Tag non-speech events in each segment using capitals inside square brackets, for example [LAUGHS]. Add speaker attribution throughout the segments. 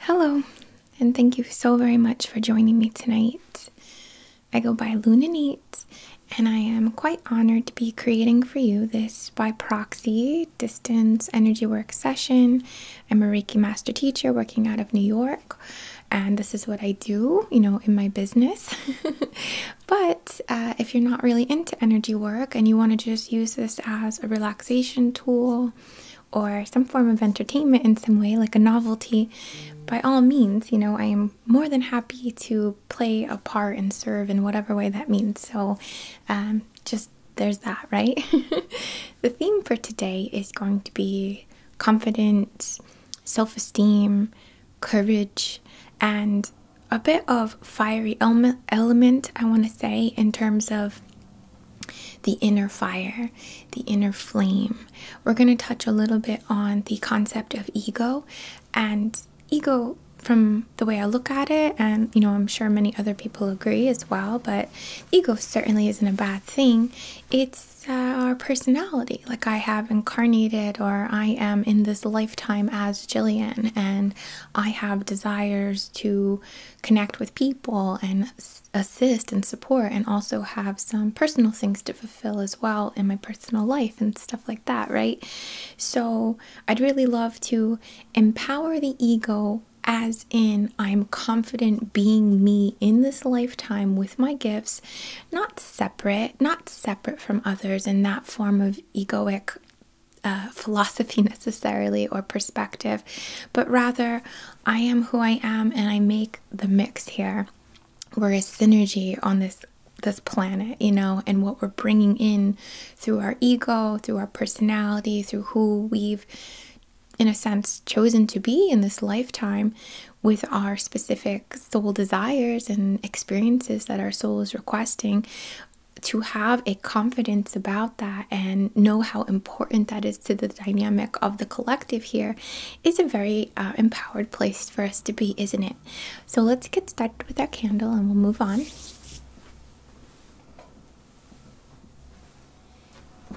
Speaker 1: Hello, and thank you so very much for joining me tonight. I go by Luna Nate, and I am quite honored to be creating for you this by proxy distance energy work session. I'm a Reiki master teacher working out of New York, and this is what I do, you know, in my business. [LAUGHS] but uh, if you're not really into energy work and you want to just use this as a relaxation tool, or some form of entertainment in some way, like a novelty, by all means, you know, I am more than happy to play a part and serve in whatever way that means. So, um, just there's that, right? [LAUGHS] the theme for today is going to be confidence, self esteem, courage, and a bit of fiery element, element I want to say, in terms of the inner fire, the inner flame. We're going to touch a little bit on the concept of ego and ego from the way I look at it and you know I'm sure many other people agree as well, but ego certainly isn't a bad thing. It's uh, our personality. Like I have incarnated or I am in this lifetime as Jillian and I have desires to connect with people and assist and support and also have some personal things to fulfill as well in my personal life and stuff like that, right? So I'd really love to empower the ego as in I'm confident being me in this lifetime with my gifts, not separate, not separate from others in that form of egoic uh, philosophy [LAUGHS] necessarily or perspective, but rather I am who I am and I make the mix here. We're a synergy on this this planet, you know, and what we're bringing in through our ego, through our personality, through who we've in a sense chosen to be in this lifetime with our specific soul desires and experiences that our soul is requesting to have a confidence about that and know how important that is to the dynamic of the collective here is a very uh, empowered place for us to be, isn't it? So let's get started with our candle and we'll move on.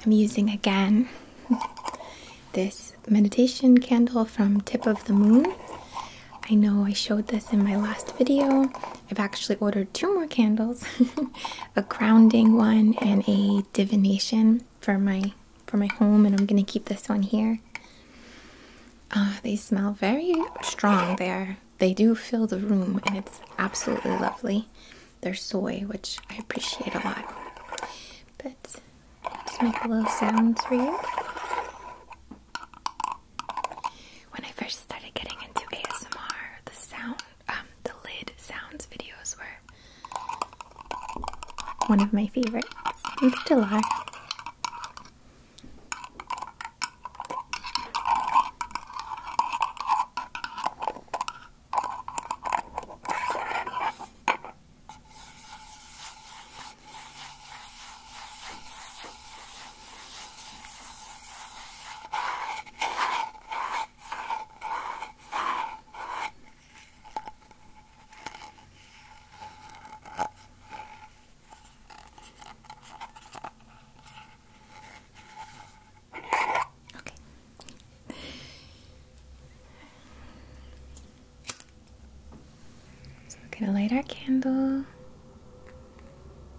Speaker 1: I'm using again [LAUGHS] this meditation candle from Tip of the Moon. I know I showed this in my last video. I've actually ordered two more candles [LAUGHS] [LAUGHS] a grounding one and a divination for my for my home and I'm gonna keep this one here. Uh, they smell very strong. There, they do fill the room and it's absolutely lovely. They're soy, which I appreciate a lot. But to make a little sound for you. When I first started getting into ASMR, the sound um, the lid sounds videos were one of my favorites and still Okay. So we're gonna light our candle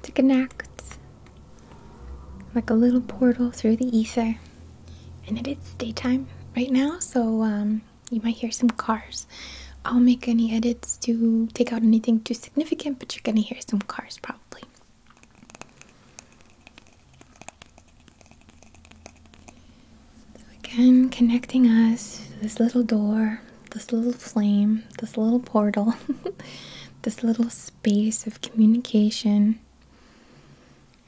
Speaker 1: to connect like a little portal through the ether. And it is daytime right now, so um, you might hear some cars. I'll make any edits to take out anything too significant, but you're gonna hear some cars probably. So again, connecting us this little door, this little flame, this little portal, [LAUGHS] this little space of communication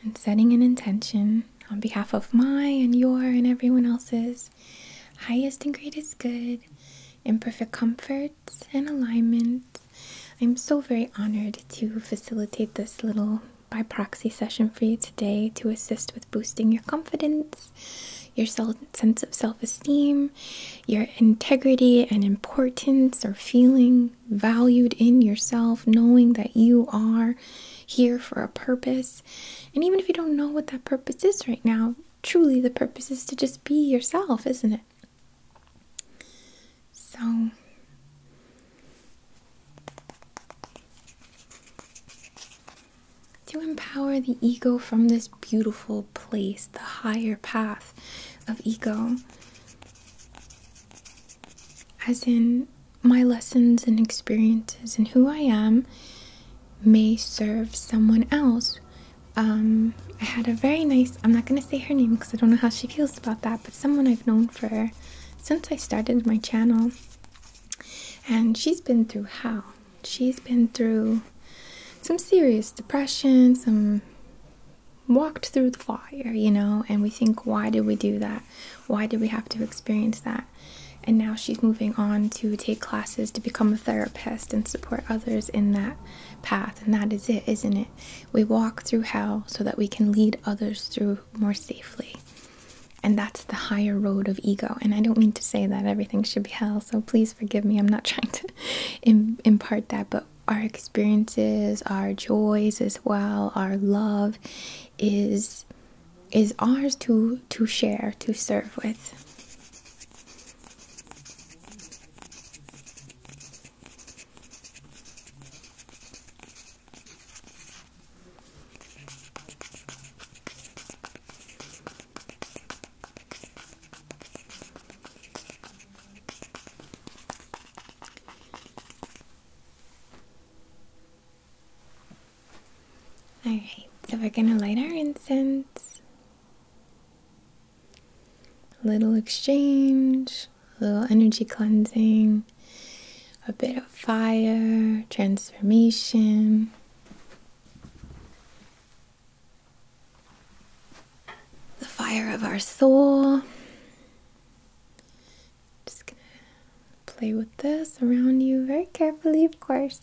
Speaker 1: and setting an intention on behalf of my and your and everyone else's highest and greatest good in perfect comfort and alignment. I'm so very honored to facilitate this little by proxy session for you today to assist with boosting your confidence, your sense of self esteem, your integrity and importance or feeling, valued in yourself, knowing that you are here for a purpose. And even if you don't know what that purpose is right now, truly the purpose is to just be yourself, isn't it? So, to empower the ego from this beautiful place, the higher path of ego, as in my lessons and experiences and who I am may serve someone else. Um, I had a very nice, I'm not going to say her name because I don't know how she feels about that, but someone I've known for since I started my channel. And she's been through hell. She's been through some serious depression, some walked through the fire, you know, and we think, why did we do that? Why did we have to experience that? And now she's moving on to take classes to become a therapist and support others in that path. And that is it, isn't it? We walk through hell so that we can lead others through more safely. And that's the higher road of ego. And I don't mean to say that everything should be hell, so please forgive me. I'm not [LAUGHS] trying to impart that, but our experiences, our joys as well, our love is is ours to to share, to serve with. Alright, so we're gonna light our incense. little exchange, little energy cleansing, a bit of fire, transformation the fire of our soul. Just gonna play with this around you very carefully, of course,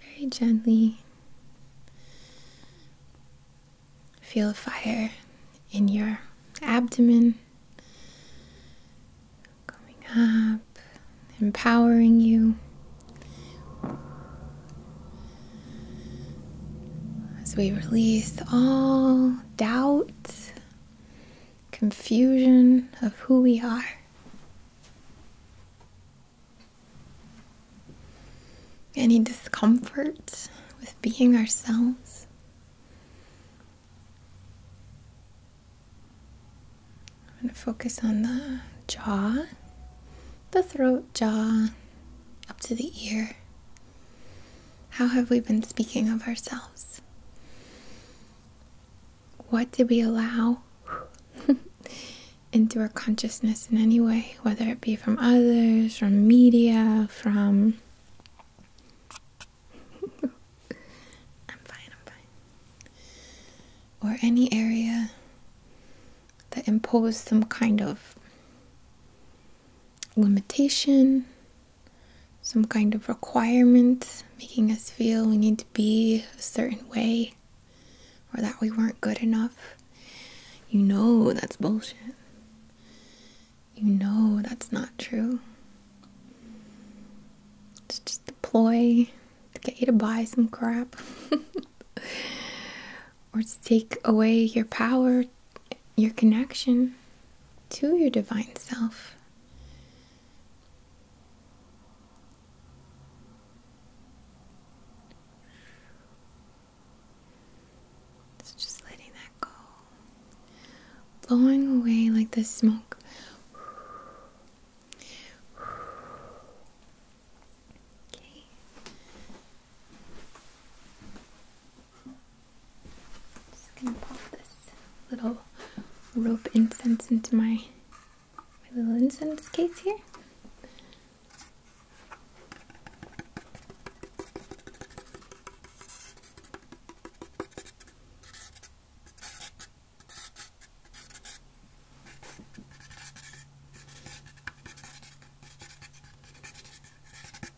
Speaker 1: very gently. Feel the fire in your abdomen coming up, empowering you. As we release all doubt, confusion of who we are. Any discomfort with being ourselves. I'm going to focus on the jaw, the throat, jaw, up to the ear. How have we been speaking of ourselves? What did we allow [LAUGHS] into our consciousness in any way, whether it be from others, from media, from. [LAUGHS] I'm fine, I'm fine. Or any area that imposed some kind of limitation, some kind of requirement, making us feel we need to be a certain way or that we weren't good enough. You know that's bullshit. You know that's not true. It's just a ploy to get you to buy some crap [LAUGHS] or to take away your power your connection to your divine self. So just letting that go, blowing away like the smoke. Okay, just gonna pop this little rope incense into my, my little incense case here. I'm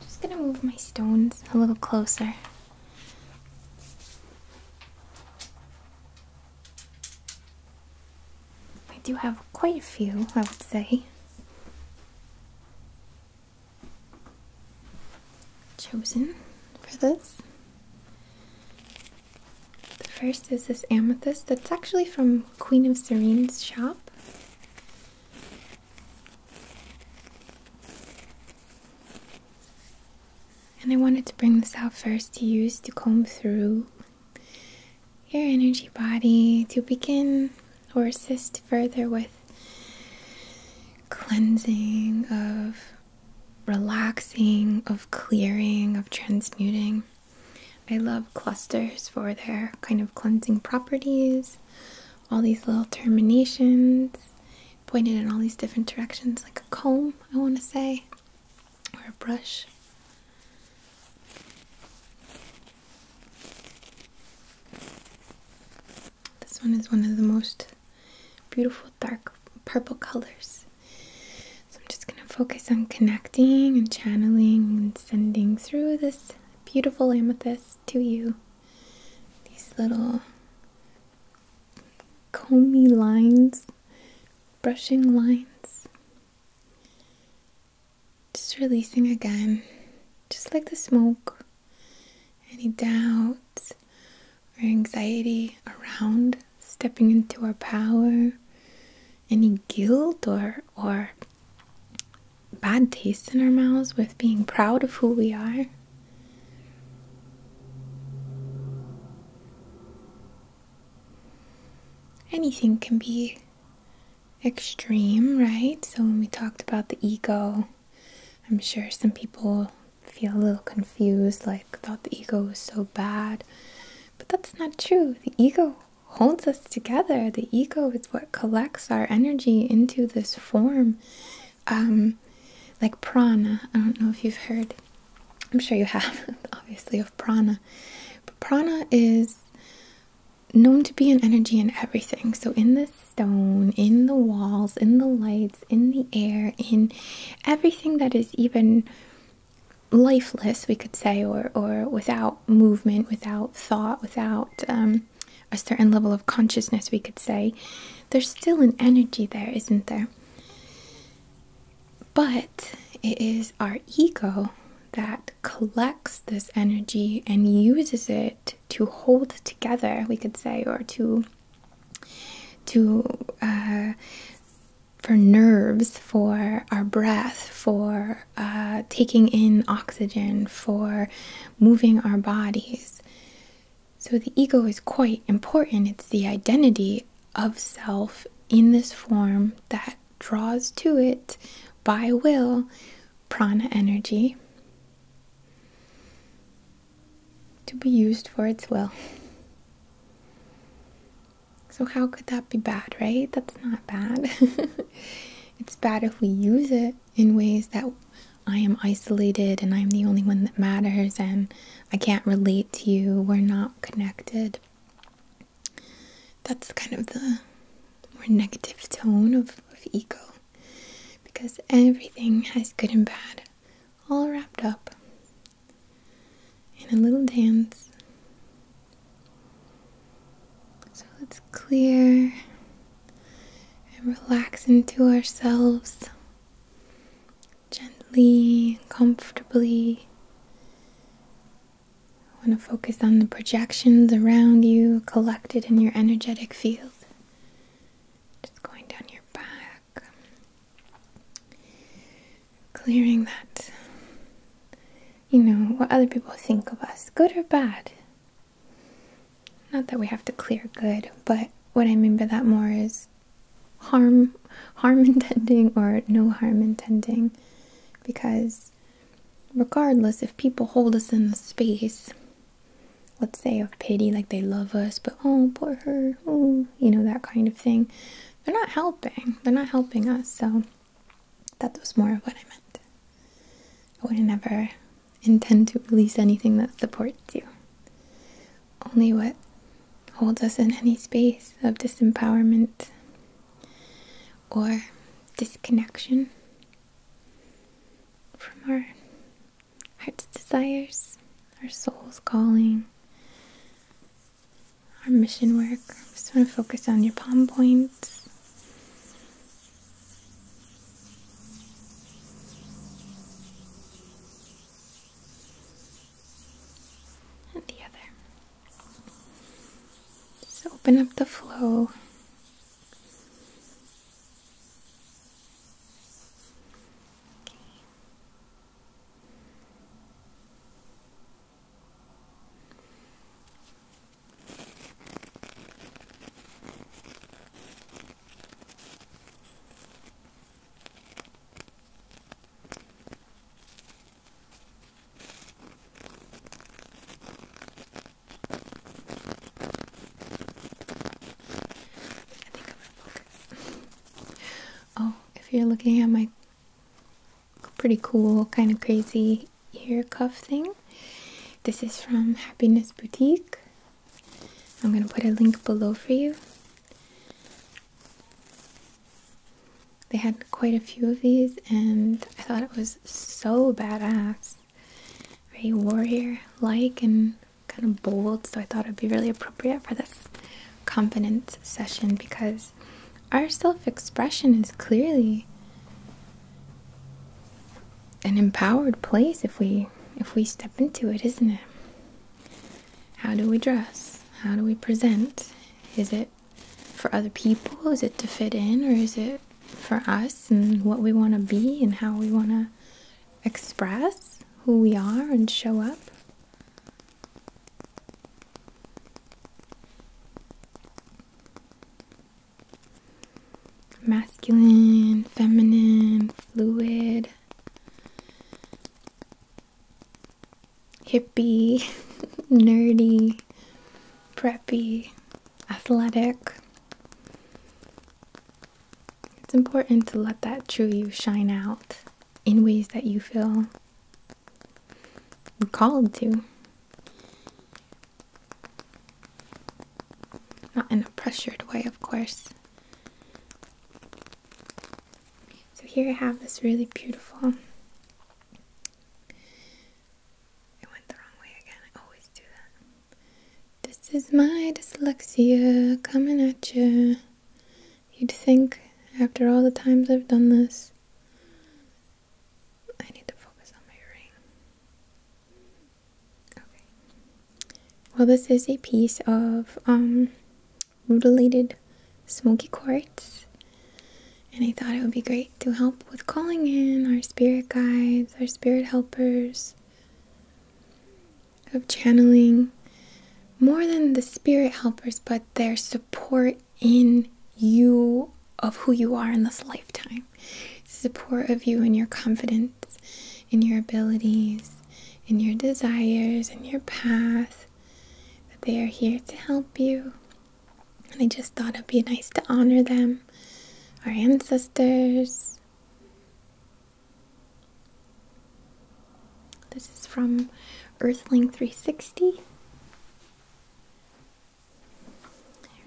Speaker 1: just going to move my stones a little closer. I do have quite a few, I would say. Chosen for this. The first is this amethyst that's actually from Queen of Serene's shop. And I wanted to bring this out first to use to comb through your energy body to begin or assist further with cleansing of relaxing, of clearing, of transmuting. I love clusters for their kind of cleansing properties, all these little terminations pointed in all these different directions, like a comb, I want to say, or a brush. This one is one of the most beautiful dark purple colors. So I'm just going to focus on connecting and channeling and sending through this beautiful amethyst to you. These little comby lines, brushing lines. Just releasing again, just like the smoke, any doubts or anxiety around stepping into our power, any guilt or or bad taste in our mouths with being proud of who we are. Anything can be extreme, right? So, when we talked about the ego, I'm sure some people feel a little confused, like, thought the ego was so bad. But that's not true. The ego holds us together, the ego is what collects our energy into this form um, like prana. I don't know if you've heard. I'm sure you have, [LAUGHS] obviously, of prana. But prana is known to be an energy in everything. So in the stone, in the walls, in the lights, in the air, in everything that is even lifeless, we could say, or or without movement, without thought, without um, a certain level of consciousness, we could say, there's still an energy there, isn't there? But it is our ego that collects this energy and uses it to hold together, we could say, or to to uh, for nerves, for our breath, for uh, taking in oxygen, for moving our bodies. So the ego is quite important. It's the identity of self in this form that draws to it by will prana energy to be used for its will. So, how could that be bad, right? That's not bad. [LAUGHS] it's bad if we use it in ways that I am isolated and I'm the only one that matters and I can't relate to you, we're not connected. That's kind of the more negative tone of, of ego because everything has good and bad all wrapped up in a little dance. So let's clear and relax into ourselves gently and comfortably. I want to focus on the projections around you collected in your energetic field. Just going down your back, clearing that. You know, what other people think of us, good or bad. Not that we have to clear good, but what I mean by that more is harm [LAUGHS] harm intending or no harm intending because regardless if people hold us in a space let's say of pity like they love us but oh poor her oh, you know that kind of thing they're not helping they're not helping us so that was more of what i meant i would have never intend to release anything that supports you. Only what holds us in any space of disempowerment or disconnection from our heart's desires, our soul's calling, our mission work. Just want to focus on your palm points and the other. Just open up the flow. Okay oh, if you're looking at my pretty cool, kind of crazy ear cuff thing, this is from Happiness Boutique. I'm going to put a link below for you. They had quite a few of these, and I thought it was so badass. Very warrior like and kind of bold, so I thought it would be really appropriate for this confidence session because our self expression is clearly an empowered place if we if we step into it, isn't it? How do we dress? How do we present? Is it for other people? Is it to fit in or is it for us and what we want to be and how we want to express who we are and show up? masculine, feminine, fluid, hippie, [LAUGHS] nerdy, preppy, athletic. It's important to let that true you shine out in ways that you feel called to. Not in a pressured way, of course. So here I have this really beautiful. It went the wrong way again. I always do that. This is my dyslexia coming at you. You'd think after all the times I've done this, I need to focus on my ring. Well, this is a piece of um, smoky quartz, and I thought it would be great to help with calling in our spirit guides, our spirit helpers, of channeling more than the spirit helpers, but their support in you of who you are in this lifetime, support of you and your confidence in your abilities, in your desires, in your path, that they are here to help you. And I just thought it'd be nice to honor them, our ancestors. This is from Earthling 360.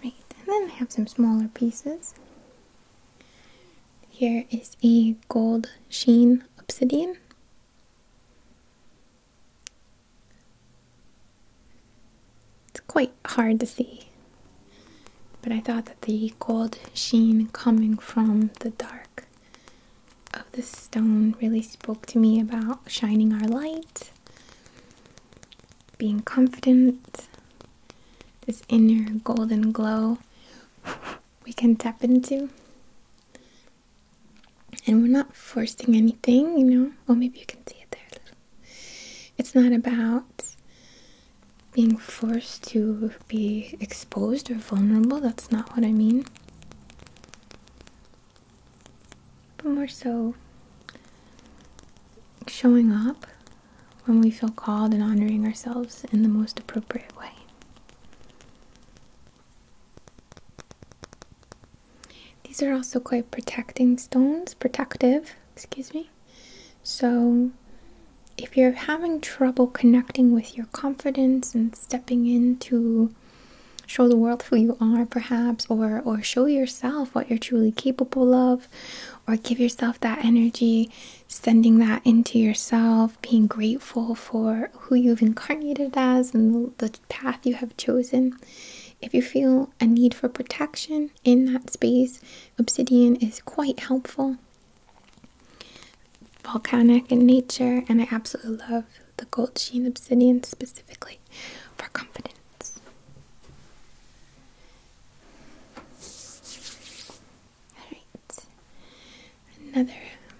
Speaker 1: Alright, and then I have some smaller pieces. Here is a gold sheen obsidian. It's quite hard to see, but I thought that the gold sheen coming from the dark of the stone really spoke to me about shining our light, being confident, this inner golden glow we can tap into. And we're not forcing anything, you know. Well, maybe you can see it there It's not about being forced to be exposed or vulnerable. That's not what I mean. But more so showing up when we feel called and honoring ourselves in the most appropriate way. These are also quite protecting stones, protective, excuse me. So, if you're having trouble connecting with your confidence and stepping in to show the world who you are, perhaps, or, or show yourself what you're truly capable of, or give yourself that energy sending that into yourself, being grateful for who you've incarnated as and the path you have chosen. If you feel a need for protection in that space, obsidian is quite helpful. Volcanic in nature, and I absolutely love the gold sheen obsidian specifically for confidence. Another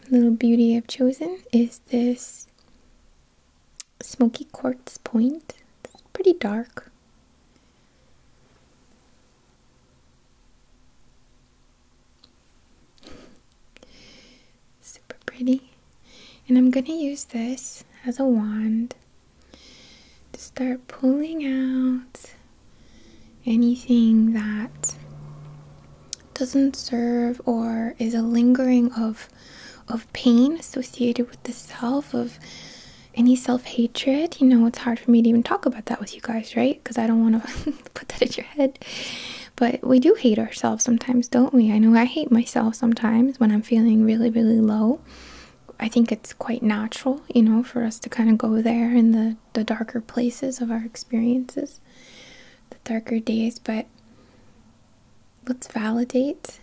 Speaker 1: little beauty I've chosen is this smoky quartz point. It's pretty dark. Super pretty. And I'm going to use this as a wand to start pulling out anything that doesn't serve or is a lingering of of pain associated with the self of any self-hatred you know it's hard for me to even talk about that with you guys right because i don't want to [LAUGHS] put that in your head but we do hate ourselves sometimes don't we i know i hate myself sometimes when i'm feeling really really low i think it's quite natural you know for us to kind of go there in the the, darker places of our experiences, the darker days, but let's validate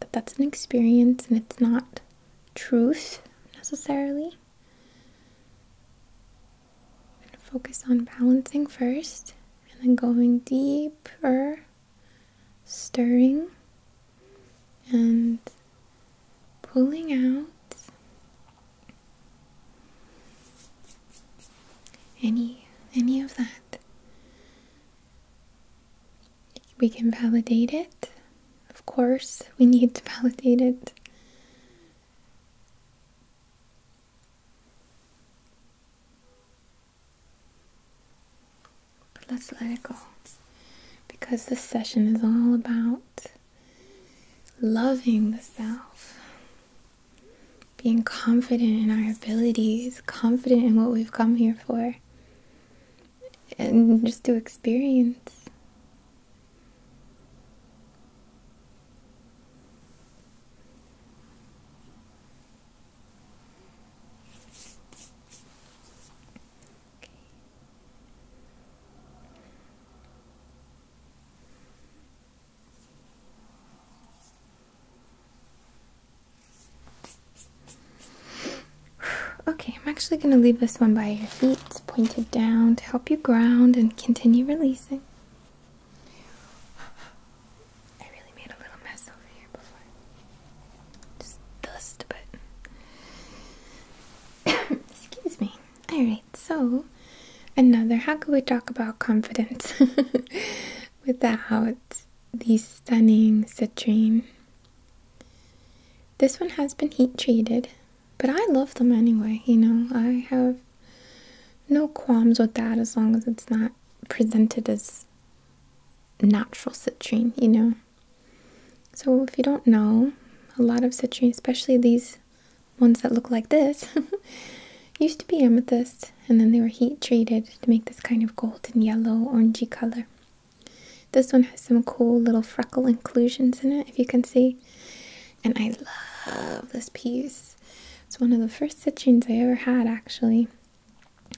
Speaker 1: that that's an experience and it's not truth necessarily. focus on balancing first and then going deeper, stirring and pulling out any any of that we can validate it of course we need to validate it but let's let it go because this session is all about loving the self, being confident in our abilities, confident in what we've come here for, and just to experience. Okay. Okay, I'm actually going to leave this one by your feet, pointed down to help you ground and continue releasing. I really made a little mess over here before. Just dust a bit. [COUGHS] Excuse me. Alright, so another how could we talk about confidence [LAUGHS] without the stunning citrine? This one has been heat treated, but I love them anyway, you know. I have no qualms with that as long as it's not presented as natural citrine, you know. So, if you don't know, a lot of citrine, especially these ones that look like this, [LAUGHS] used to be amethyst, and then they were heat treated to make this kind of golden yellow, orangey color. This one has some cool little freckle inclusions in it, if you can see. And I love this piece. It's one of the first citrines I ever had, actually.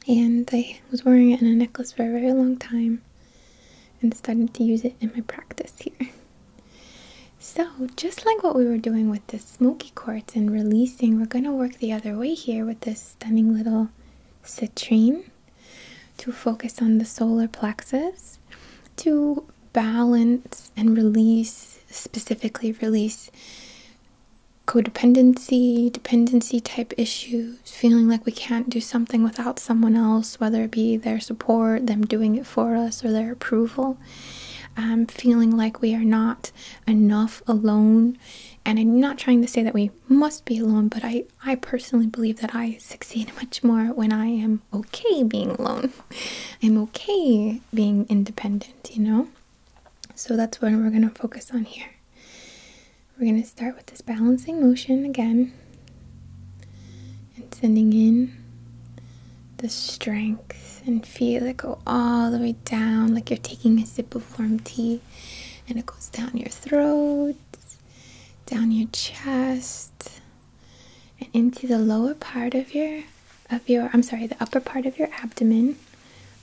Speaker 1: And I was wearing it in a necklace for a very long time and started to use it in my practice here. So, just like what we were doing with the smoky quartz and releasing, we're going to work the other way here with this stunning little citrine to focus on the solar plexus to balance and release, specifically release codependency, dependency type issues, feeling like we can't do something without someone else whether it be their support, them doing it for us, or their approval. feeling like we are not enough alone. And I'm not trying to say that we must be alone, but I, I personally believe that I succeed [LAUGHS] much more when I am okay being alone. [LAUGHS] I'm okay being independent, you know? So that's what we're going to focus on here. We're going to start with this balancing motion again and sending in the strength and feel it go all the way down like you're taking a sip of warm tea and it goes down your throat, down your chest, and into the lower part of your of your I'm sorry, the upper part of your abdomen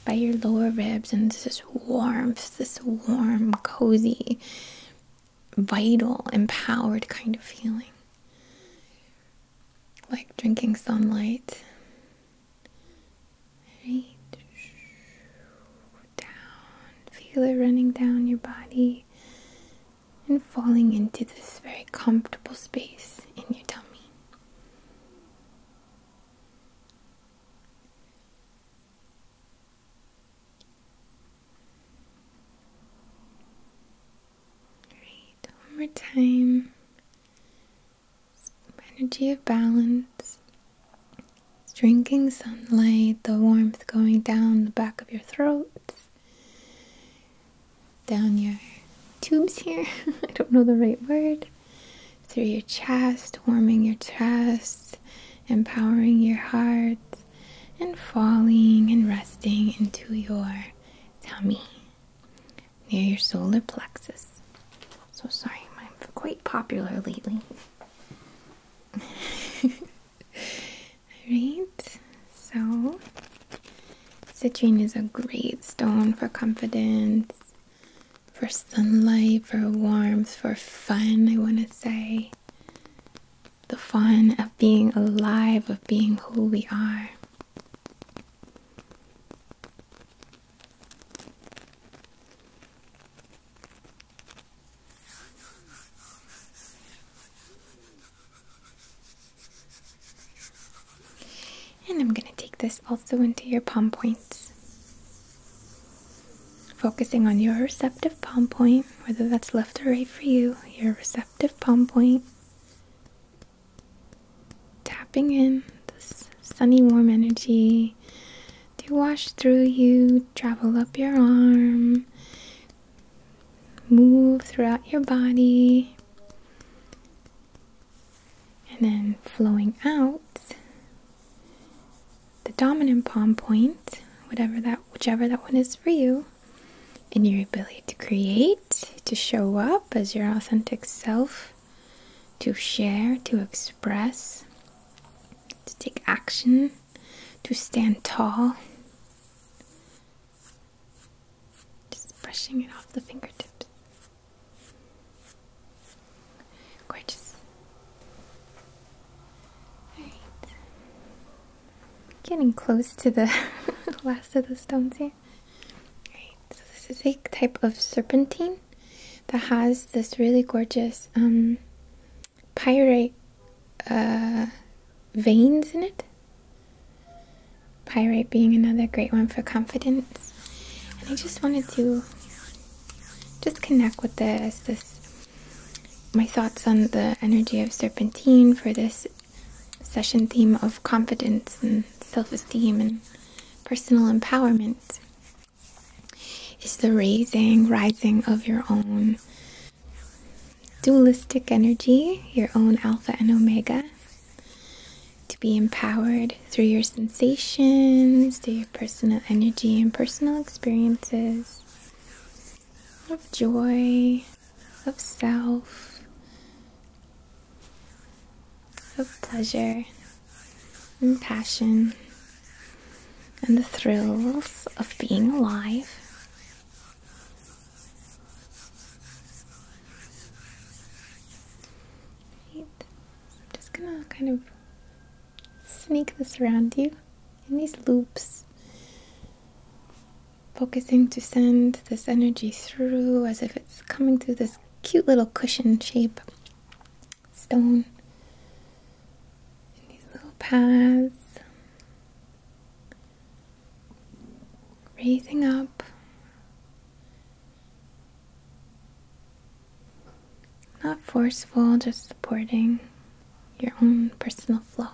Speaker 1: by your lower ribs and this is warmth, this warm, cozy vital, empowered kind of feeling. Like drinking sunlight. Right. Down. Feel it running down your body and falling into this very comfortable space in your tummy. Great, one more time. Energy of balance. drinking sunlight, the warmth going down the back of your throat, down your tubes here. [LAUGHS] I don't know the right word. Through your chest, warming your chest, empowering your heart and falling and resting into your tummy near your solar plexus. So sorry, I'm quite popular lately. Alright, [LAUGHS] so citrine is a great stone for confidence, for sunlight, for warmth, for fun, I want to say the fun of being alive, of being who we are. And I'm going to take this also into your palm points. Focusing on your receptive palm point whether that's left or right for you, your receptive palm point, tapping in this sunny, warm energy to wash through you, travel up your arm, move throughout your body, and then flowing out the dominant palm point, whatever that, whichever that one is for you in your ability to create, to show up as your authentic self, to share, to express, to take action, to stand tall. Just brushing it off the fingertips. Gorgeous. Alright. Getting close to the [LAUGHS] last of the stones here. so this is a type of serpentine that has this really gorgeous um, pyrite uh, veins in it. Pyrite being another great one for confidence. And I just wanted to just connect with this my thoughts on the energy of serpentine for this session theme of confidence and self-esteem and personal empowerment is the raising, rising of your own dualistic energy, your own alpha and omega, to be empowered through your sensations, through your personal energy and personal experiences, of joy, of self, of pleasure and passion, and the thrills of being alive. Right. I'm just gonna kind of sneak this around you again in these loops, focusing to send this energy through as if it's coming through this cute little cushion shape stone. In these little paths, raising up. Not forceful, just supporting your own personal flow.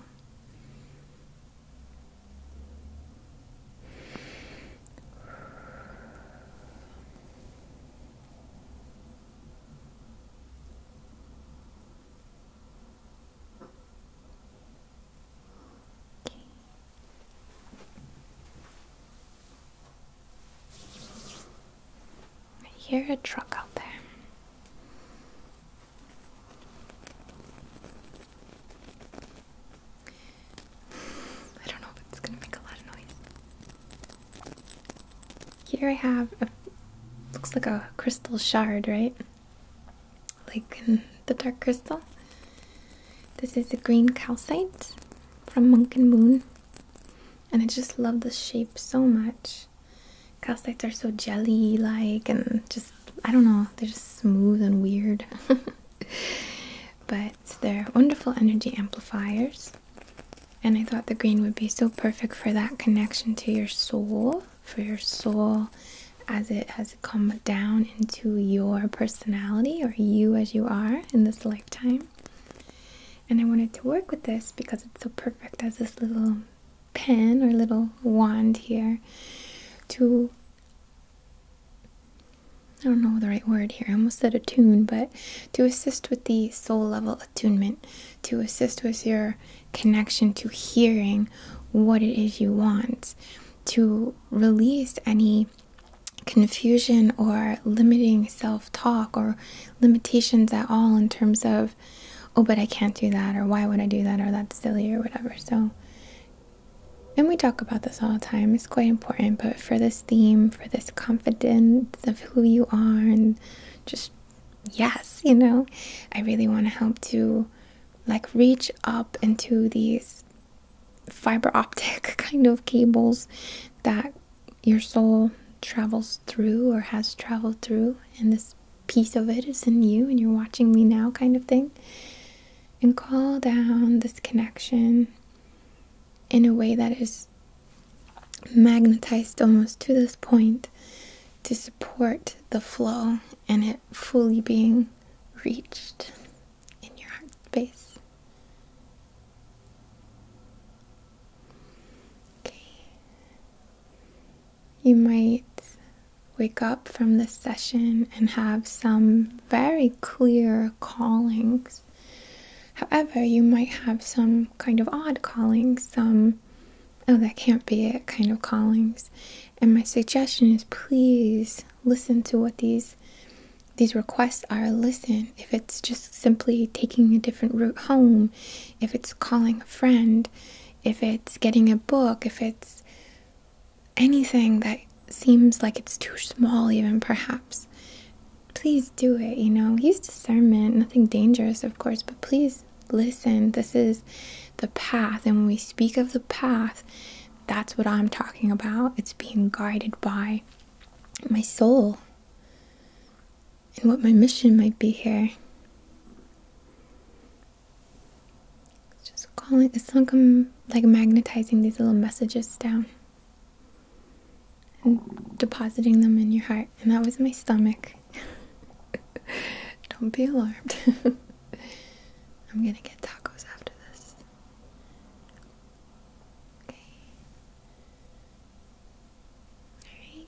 Speaker 1: I hear a truck out there. [SIGHS] I don't know, it's gonna make a lot of noise. Here I have a looks like a crystal shard, right? Like in the dark crystal. This is a green calcite from Monk and Moon. And I just love the shape so much gosh. are so jelly like and just, I don't know, they're just smooth and weird. [LAUGHS] but they're wonderful energy amplifiers. And I thought the green would be so perfect for that connection to your soul, for your soul as it has come down into your personality or you as you are in this lifetime. And I wanted to work with this because it's so perfect as this little pen or little wand here to I don't know the right word here. I almost said tune, but to assist with the soul level attunement, to assist with your connection to hearing what it is you want, to release any confusion or limiting self talk or limitations at all in terms of oh but i can't do that or why would i do that or that's silly or whatever so and we talk about this all the time it's quite important but for this theme for this confidence of who you are and just yes you know i really want to help to like reach up into these fiber optic [LAUGHS] kind of cables that your soul travels through or has traveled through and this piece of it is in you and you're watching me now, kind of thing. And call down this connection in a way that is magnetized almost to this point to support the flow and it fully being reached in your heart space. Okay. You might wake up from this session and have some very clear callings. However, you might have some kind of odd callings, some, oh, that can't be it kind of callings. And my suggestion is please listen to what these these requests are listen if it's just simply taking a different route home if it's calling a friend if it's getting a book, if it's anything that seems like it's too small, even perhaps, please do it. You know, use discernment, nothing dangerous, of course, but please listen. This is the path, and when we speak of the path, that's what I'm talking about. It's being guided by my soul and what my mission might be here. It's just calling, it's like I'm like magnetizing these little messages down and depositing them in your heart. And that was my stomach. [LAUGHS] Don't be alarmed. [LAUGHS] I'm gonna get tacos after this. Okay. Alright.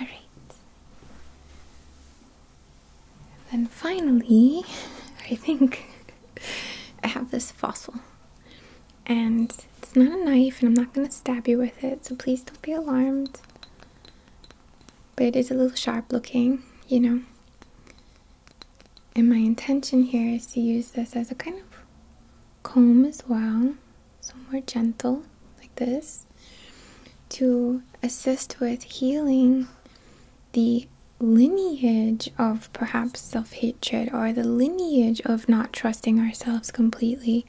Speaker 1: All right. then finally, [LAUGHS] I think [LAUGHS] I have this fossil. And it's not a knife, and I'm not going to stab you with it, so please don't be alarmed but it is a little sharp looking, you know. And my intention here is to use this as a kind of comb as well, so more gentle, like this, to assist with healing the lineage of perhaps self hatred or the lineage of not trusting ourselves completely.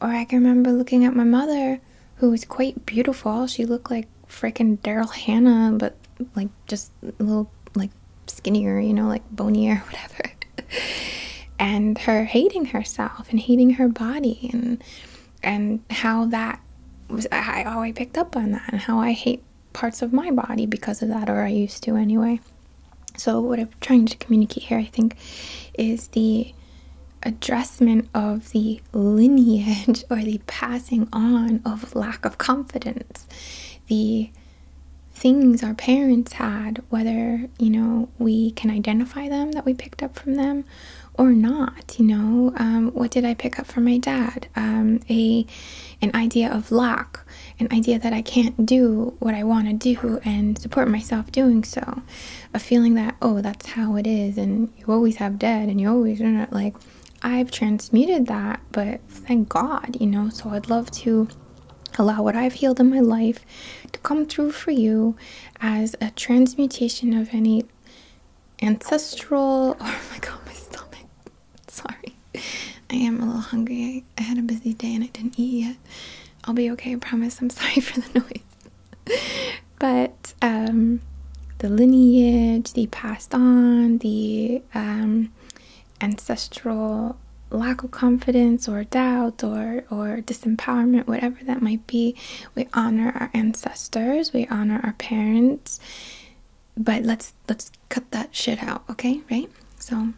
Speaker 1: Or I can remember looking at my mother, who was quite beautiful. She looked like fricking Daryl Hannah, but like just a little like skinnier, you know, like bonier [LAUGHS] whatever. and her hating herself and hating her body and and how that was I how I picked up on that and how I hate parts of my body because of that or I used to anyway. So what I'm trying to communicate here I think is the addressment of the lineage or the passing on of lack of confidence, the things our parents had, whether you know we can identify them that we picked up from them or not. You know, um, what did I pick up from my dad? Um, a an idea of lack, an idea that I can't do what I want to do and support myself doing so, a feeling that oh that's how it is and you always have dead and you always are not like I've transmuted that, but thank God, you know, so I'd love to allow what I've healed in my life to come through for you as a transmutation of any ancestral [LAUGHS] oh my god my stomach sorry i am a little hungry I had a busy day and i didn't eat yet i'll be okay i promise i'm sorry [LAUGHS] for the noise [LAUGHS] but um, the lineage, the passed on, the um, ancestral lack of confidence or doubt or or disempowerment whatever that might be we honor our ancestors we honor our parents but let's let's cut that shit out okay right so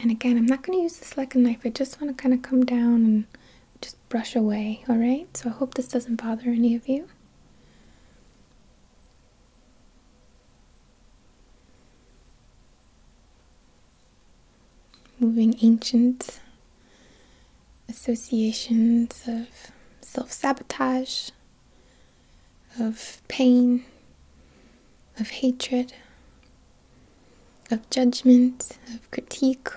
Speaker 1: and again, I'm not going to use this like a knife. I just want to kind of come down and just brush away, all right? So I hope this doesn't bother any of you. Moving ancient associations of self sabotage of pain, of hatred, of judgment, of critique.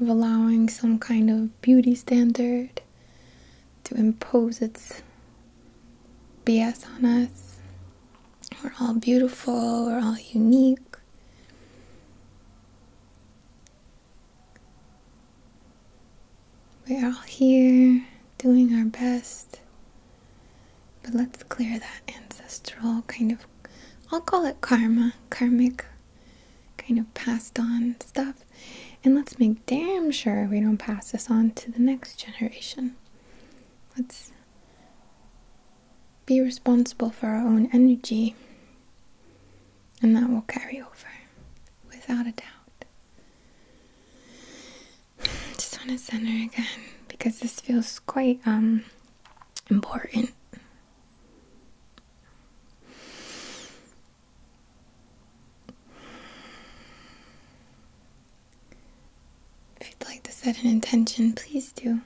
Speaker 1: Of allowing some kind of beauty standard to impose its BS on us. We're all beautiful, we're all unique. We're all here doing our best. But let's clear that ancestral kind of, I'll call it karma, karmic kind of passed on stuff. And let's make damn sure we don't pass this on to the next generation. Let's be responsible for our own energy, and that will carry over without a doubt. Just want to center again because this feels quite um important. If you'd like to set an intention, please do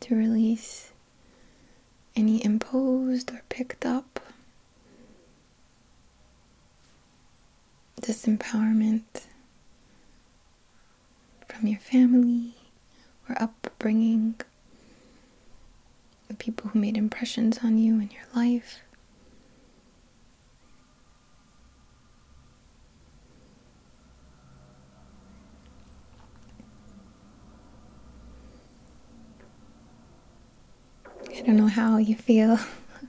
Speaker 1: to release any imposed or picked up disempowerment from your family or upbringing, the people who made impressions on you in your life. I don't know how you feel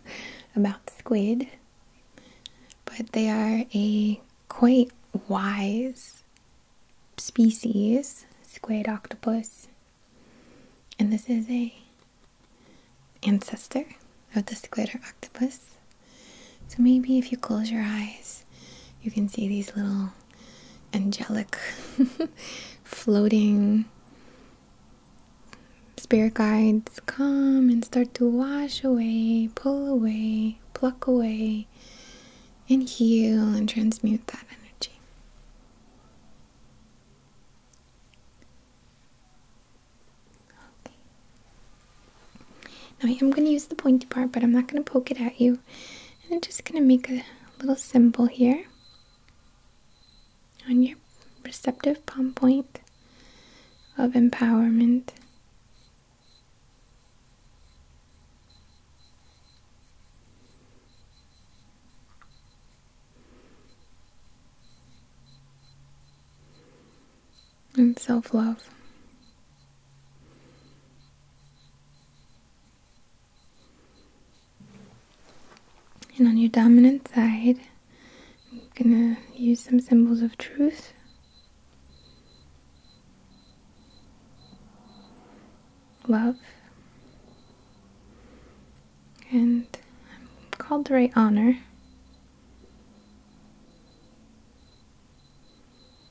Speaker 1: [LAUGHS] about squid, but they are a quite wise species, squid octopus. And this is a ancestor of the squid or octopus. So maybe if you close your eyes, you can see these little angelic [LAUGHS] floating spirit guides come and start to wash away, pull away, pluck away, and heal and transmute that energy. Now I am going to use the pointy part, but I'm not going to poke it at you. I'm just going to make a little symbol here on your receptive palm point of empowerment and self love. And on your dominant side, I'm going to use some symbols of truth. Love. And called to write honor.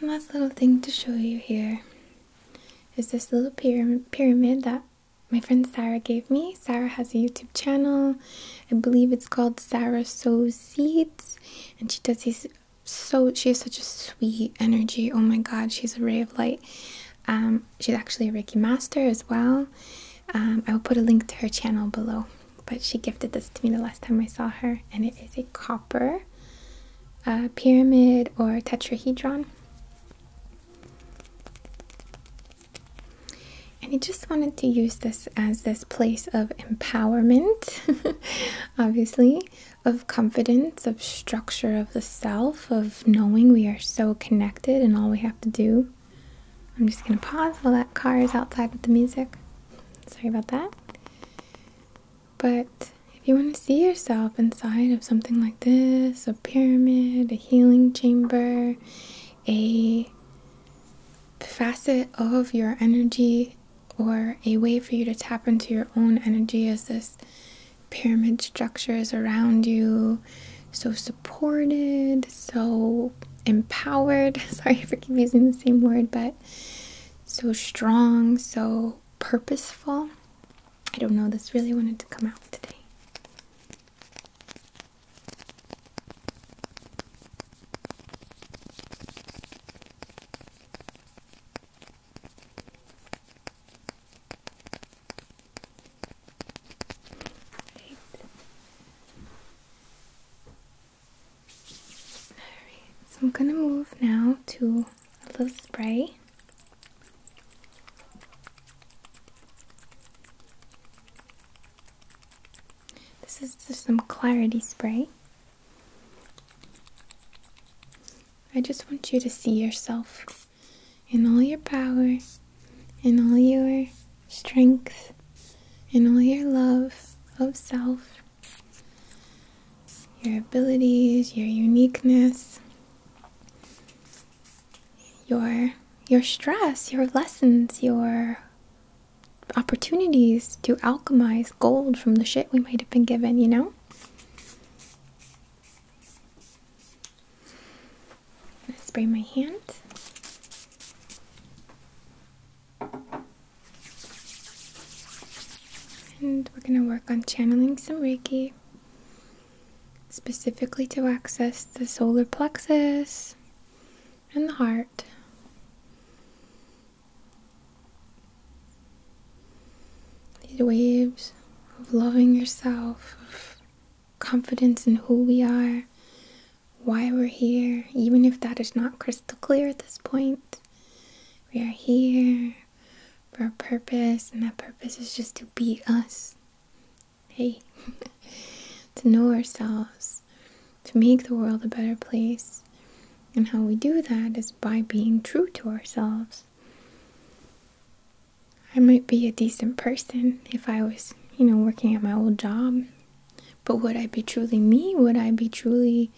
Speaker 1: One last little thing to show you here is this little pyramid that my friend Sarah gave me. Sarah has a YouTube channel. I believe it's called Sarah Sows Seeds. And she does these so she has such a sweet energy. Oh my god, she's a ray of light. Um, she's actually a Reiki master as well. Um, I will put a link to her channel below but she gifted this to me the last time I saw her, and it is a copper uh, pyramid or tetrahedron. And I just wanted to use this as this place of empowerment, [LAUGHS] obviously, of confidence, of structure of the self, of knowing we are so connected and all we have to do I'm just gonna pause while that car is outside with the music. Sorry about that. But if you want to see yourself inside of something like this a pyramid, a healing chamber, a facet of your energy, or a way for you to tap into your own energy as this pyramid structure is around you, so supported, so empowered. [LAUGHS] Sorry for keep using the same word, but so strong, so purposeful. I don't know, this really wanted to come out today so I'm gonna move now to a little spray. This is just some clarity spray. I just want you to see yourself in all your power in all your strength, in all your love of self, your abilities, your uniqueness, your your stress, your lessons, your opportunities to alchemize gold from the shit we might have been given, you know? I'm spray my hand. And we're going to work on channeling some Reiki, specifically to access the solar plexus and the heart. These waves of loving yourself, of confidence in who we are, why we're here, even if that is not crystal clear at this point. We are here for a purpose, and that purpose is just to be us. Hey, [LAUGHS] to know ourselves, to make the world a better place. And how we do that is by being true to ourselves. I might be a decent person if I was, you know, working at my old job but would I be truly me? Would I be truly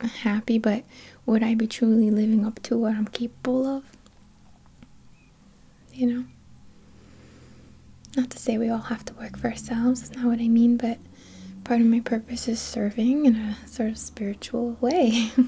Speaker 1: happy? But would I be truly living up to what I'm capable of? You know? Not to say we all have to work for ourselves, that's not what I mean, but part of my purpose is serving in a sort of spiritual way. [LAUGHS]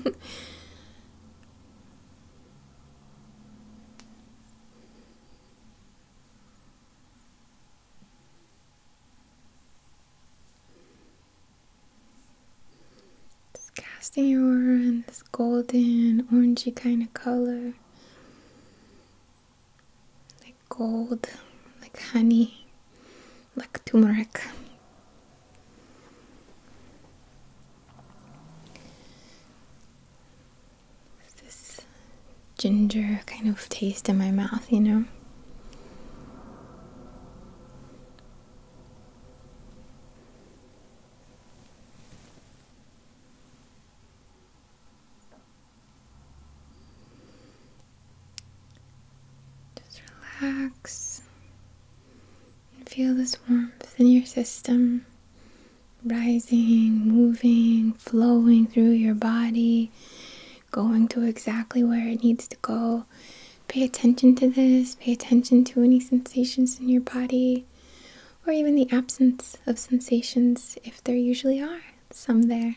Speaker 1: It's casting your aura in this golden, orangey kind of color. Like gold, like honey, like turmeric this ginger kind of taste in my mouth, you know. Just relax and feel this warmth in your system rising, moving, flowing through your body, going to exactly where it needs to go. Pay attention to this, pay attention to any sensations in your body, or even the absence of sensations if there usually are some there.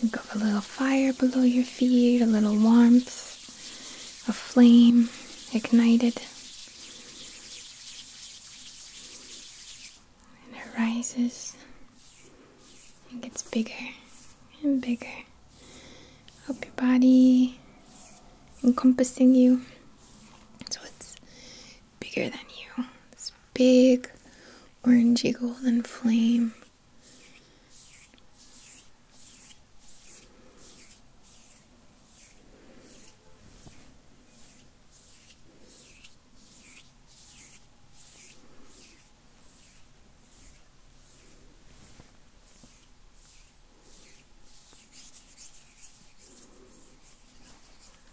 Speaker 1: Think of a little fire below your feet, a little warmth, a flame ignited. And it rises and gets bigger and bigger up your body, encompassing you. So it's bigger than you. This big orangey golden flame.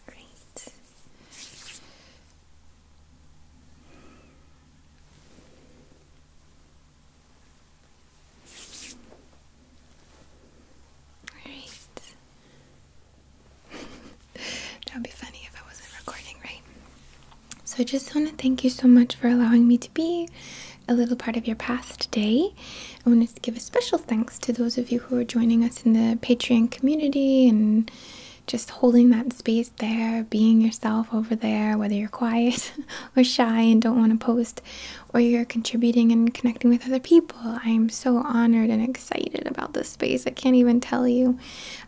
Speaker 1: Great. Alright. [LAUGHS] that would be funny if I wasn't recording, right? So I just want to thank you so much for allowing me to be a little part of your past day. I wanted to give a special thanks to those of you who are joining us in the Patreon community and just holding that space there, being yourself over there, whether you're quiet [LAUGHS] or shy and don't want to post, or you're contributing and connecting with other people. I am so honored and excited about this space. I can't even tell you.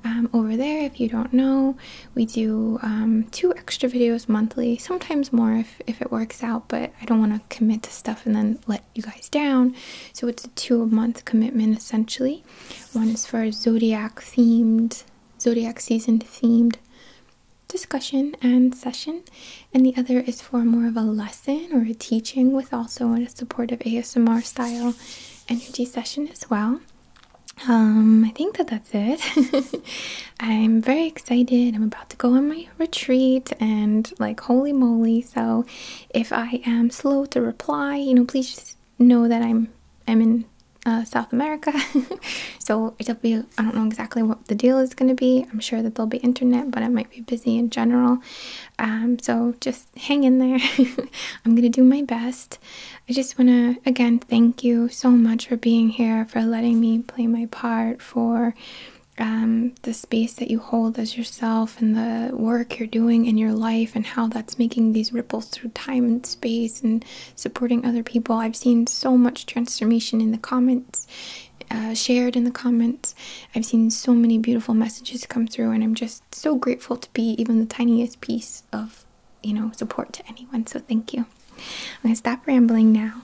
Speaker 1: Um, over there, if you don't know, we do um, two extra videos monthly, sometimes more if, if it works out, but I don't want to commit to stuff and then let you guys down. So it's a two a month commitment essentially. One is for a zodiac-themed, zodiac themed, zodiac season themed discussion and session, and the other is for more of a lesson or a teaching with also a supportive ASMR style energy session as well. Um, I think that that's it. [LAUGHS] I'm very excited. I'm about to go on my retreat and like holy moly. So if I am slow to reply, you know, please just know that I'm I'm in uh, South America, [LAUGHS] so it'll be I don't know exactly what the deal is going to be. I'm sure that there'll be internet, but I might be busy in general. Um, so just hang in there. [LAUGHS] I'm gonna do my best. I just want to again thank you so much for being here, for letting me play my part, for um, the space that you hold as yourself and the work you're doing in your life and how that's making these ripples through time and space and supporting other people. I've seen so much transformation in the comments, uh, shared in the comments. I've seen so many beautiful messages come through, and I'm just so grateful to be even the tiniest piece of, you know, support to anyone. So thank you. I'm gonna stop rambling now.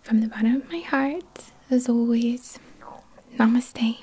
Speaker 1: From the bottom of my heart, as always, namaste.